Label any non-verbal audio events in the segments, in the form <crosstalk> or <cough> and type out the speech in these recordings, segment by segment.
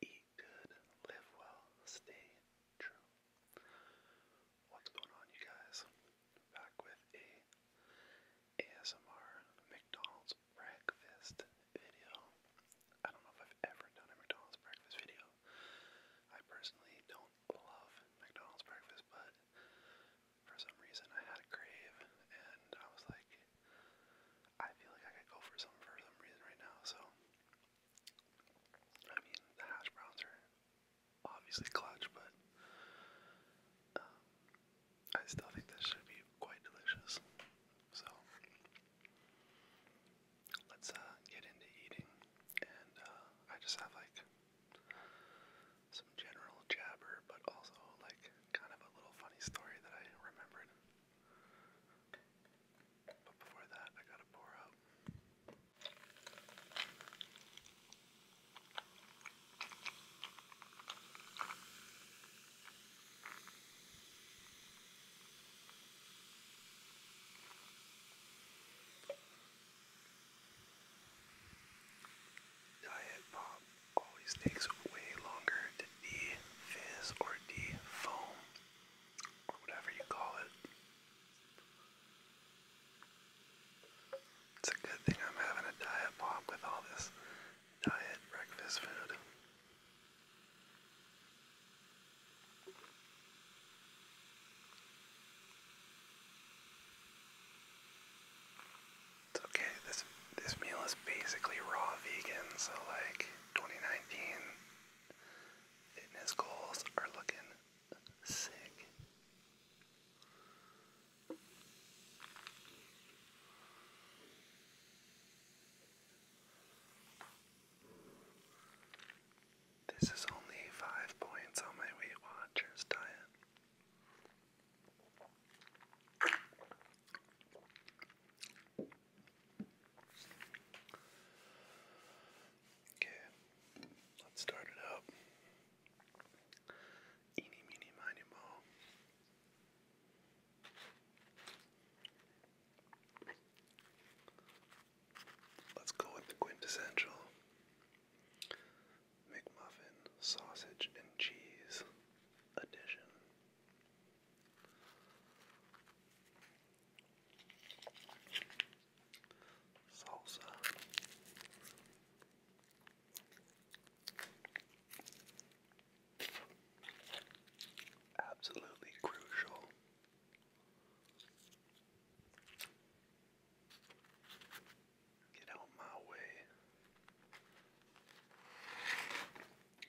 Eat good, live well, stay true. What's going on, you guys? Back with a ASMR McDonald's breakfast video. I don't know if I've ever done a McDonald's breakfast video. I personally don't love McDonald's breakfast, but for some reason I had a crave and I was like, I feel like I could go for some for some reason right now. So, I mean, the hash browns are obviously clutch, but um, I still think this should be quite delicious. So, let's uh, get into eating, and uh, I just have like some general jabber, but also like kind of a little funny story that I remembered. But before that, I gotta pour out. Diet pop always takes way longer to de fizz or de foam whatever you call it. It's a good thing I'm having a diet pop with all this diet breakfast food. It's okay, this this meal is basically raw vegan, so like 2019 fitness goals are looking sick. This is only five points on my Weight Watchers diet. Okay, let's start it up. Eeny, meeny, miny, mo. Let's go with the quintessential McMuffin sausage and cheese edition. Salsa. Absolutely crucial. Get out my way.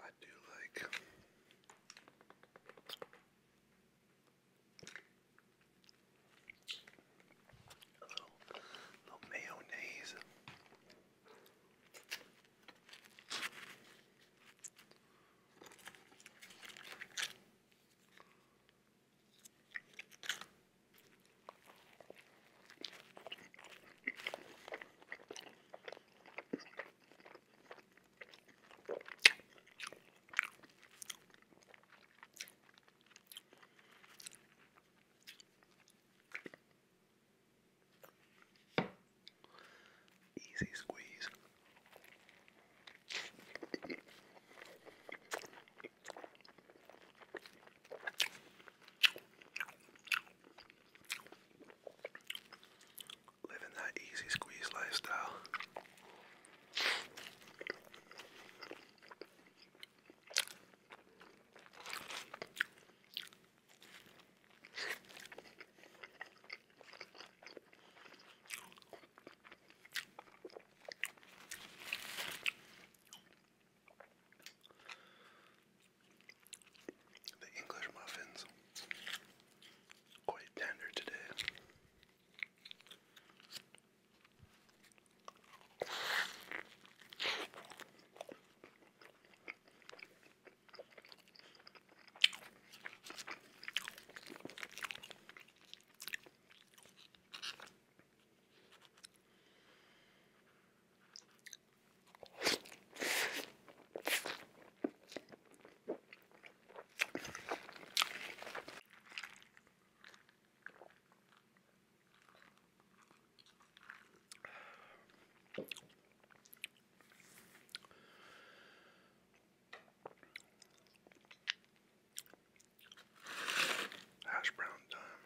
I do like um, a little, little mayonnaise. Easy squeeze. Living that easy squeeze lifestyle. The English muffins quite tender today. Hash brown time.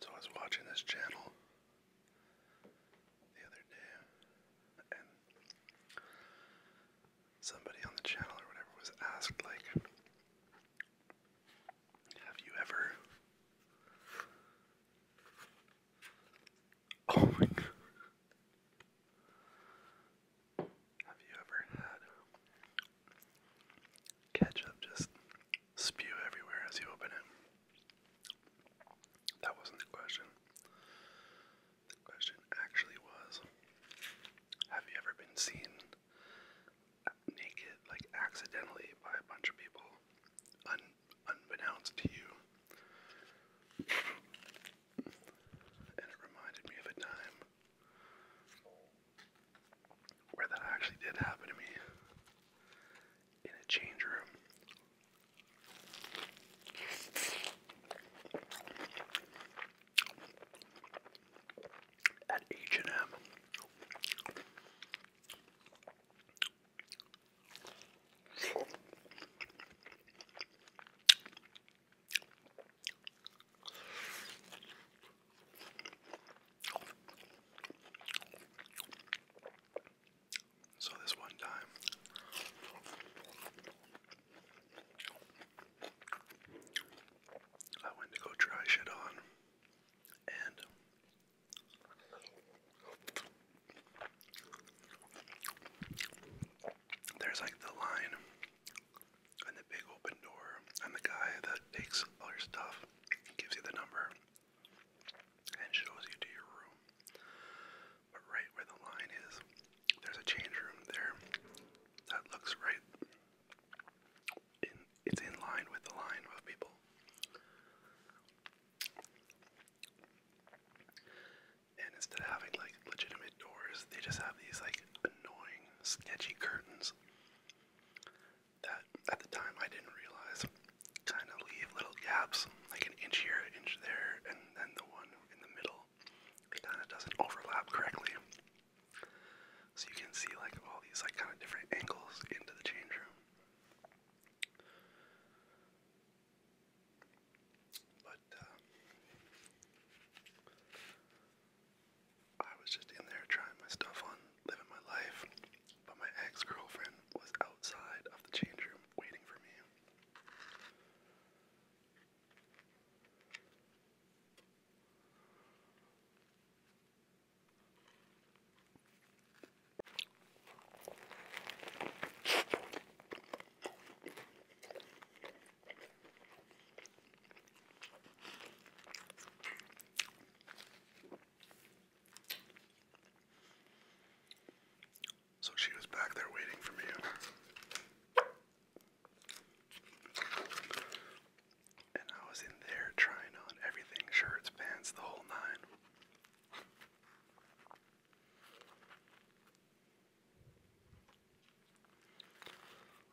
So I was watching this channel the other day, and somebody on the channel or whatever was asked, like, have you ever. <laughs> Oh my god. Have you ever had ketchup just spew everywhere as you open it. That wasn't the question. The question actually was Have you ever been seen naked, like accidentally, by a bunch of people un unbeknownst to you? And it reminded me of a time where that actually did happen to me in a change room. At H&M. So this one time I went to go try shit on and there's like the line and the big open door and the guy that takes all your stuff gives you the number and shows you to your room. But right where the line is, there's a change room there that looks right in it's in line with the line of people. And instead of having like legitimate doors, they just have these like annoying, sketchy curtains that at the time I didn't realize kind of leave little gaps, like an inch here, an inch there, and then the one in the middle, kind of doesn't overlap correctly. So you can see like all these like kind of different angles into the change room. But uh, I was just in there trying my stuff on, living my life, but my ex girlfriend was outside of the change room waiting for me. So she was back there waiting for me. And I was in there trying on everything shirts, pants, the whole nine.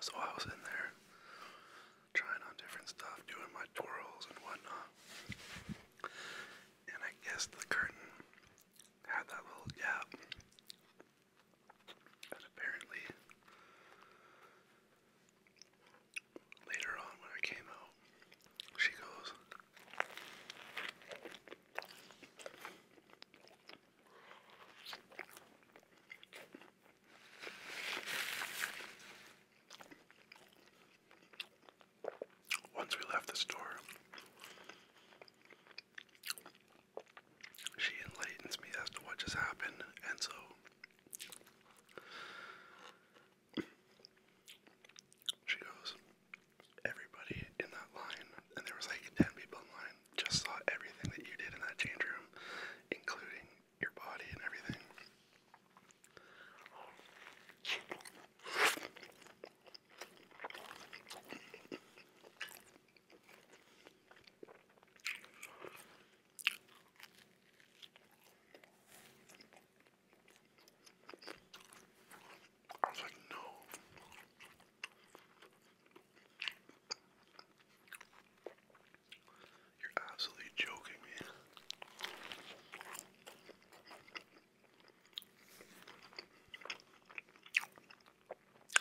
So I was in there trying on different stuff, doing my twirls and whatnot. And I guess the curtain had that little gap. And apparently, later on when I came out, she goes, once we left the store, she enlightens me as to what just happened, and so she goes, Everybody in that line, and there was like 10 people in line, just saw everything that you did in that change room, including your body and everything. I was like, no. You're absolutely joking me.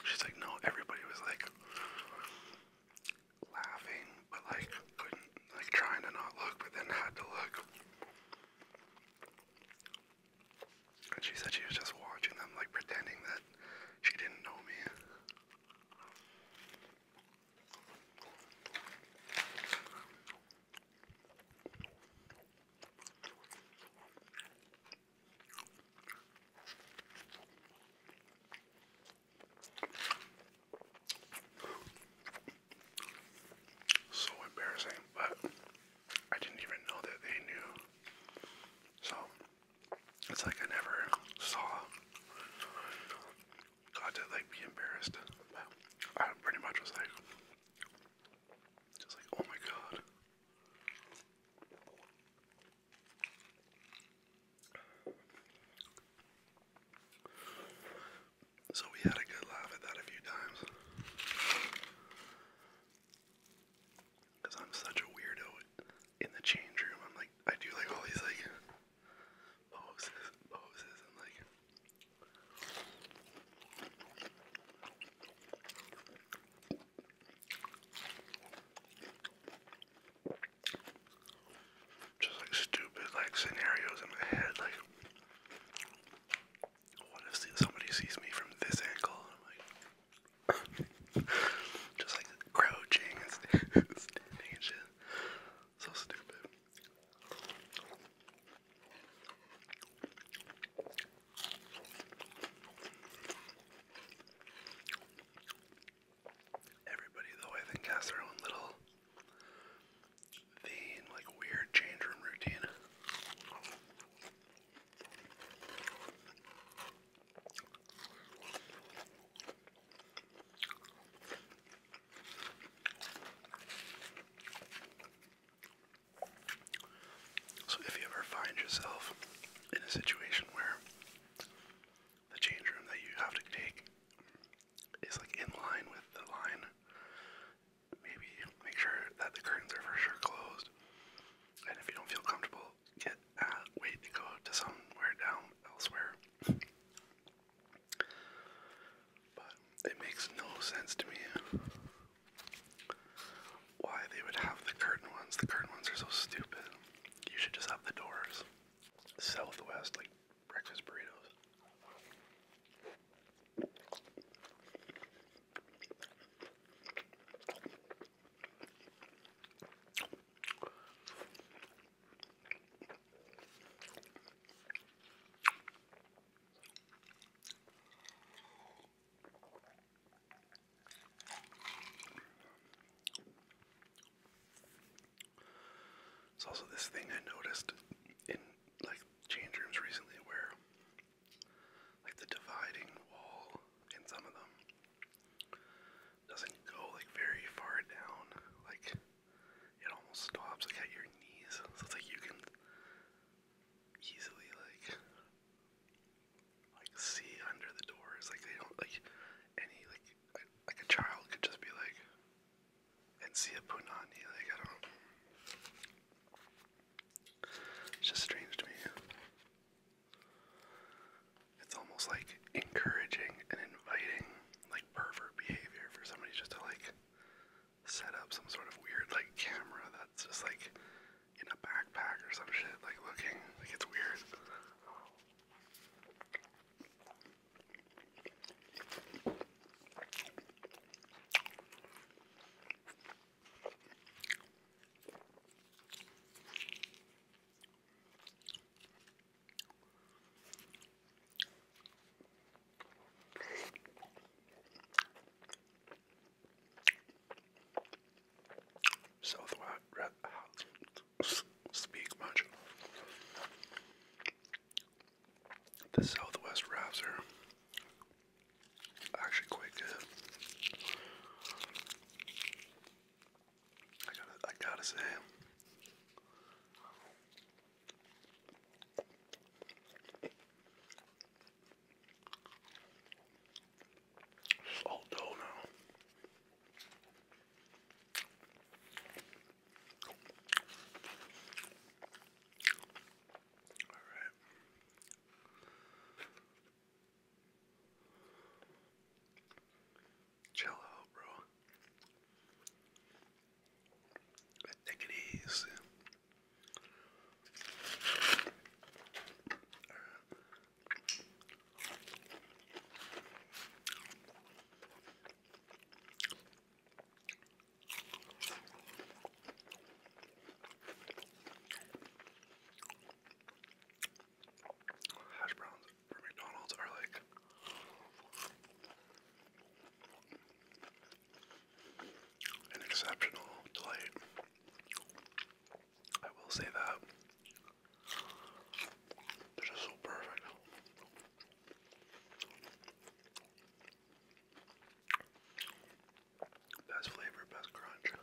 She's like, no, everybody was like laughing, but like couldn't, like trying to not look, but then had to look. And she said she was just watching them, like pretending that she didn't know me. So embarrassing, but I didn't even know that they knew. So it's like I never saw God, to like be embarrassed. I pretty much was like, just like, oh my god. So we had a good laugh at that a few times. Cause I'm such a weirdo in the change room. I'm like, I do like all these like poses, poses, and like. Just like stupid like scenarios in my head, like what if somebody sees me from this angle? I'm like <laughs> just like crouching <laughs> So stupid. Everybody, though, I think has their own little vein, like weird change room routine. So, if you ever find yourself in a situation where the change room that you have to take is like in line with the line, maybe make sure that the curtains are for sure closed. And if you don't feel comfortable, get uh, wait to go to somewhere down elsewhere. But it makes no sense to me why they would have the curtain ones. The curtain ones are so stupid. You should just have the doors. Southwest, like breakfast burritos. It's also this thing I noticed in like change rooms recently where like the dividing wall in some of them doesn't go like very far down. Like it almost stops at your knees. So it's like you can easily like like see under the doors. Like they don't like any like like a child could just be like and see a punani. Like I don't. It's just strange to me it's almost like encouraging and inviting like pervert behavior for somebody just to like set up some sort of weird like camera that's just like in a backpack or some shit like looking like it's weird. South Red speak much. The Southwest wraps are actually quite good. I gotta, say, it's dough now. All right. Chill out, bro. Take it easy. All right. Hash browns for McDonald's are like an exceptional delight. I will say that. They're just so perfect. Best flavor, best crunch.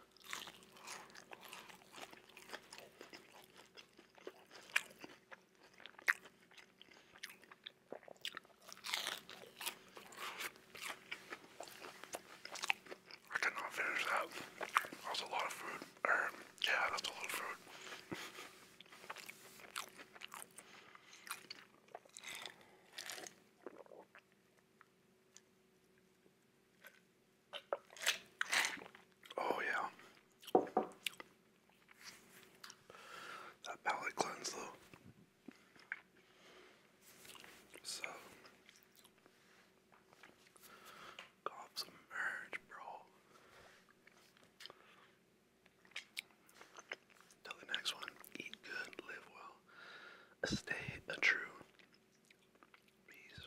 I cannot finish that. That was a lot of food. Er, yeah, that's a lot of food. Oh yeah. That palate cleanse though. So cough some merge, bro. Till the next one, eat good, live well, stay a true. Peace.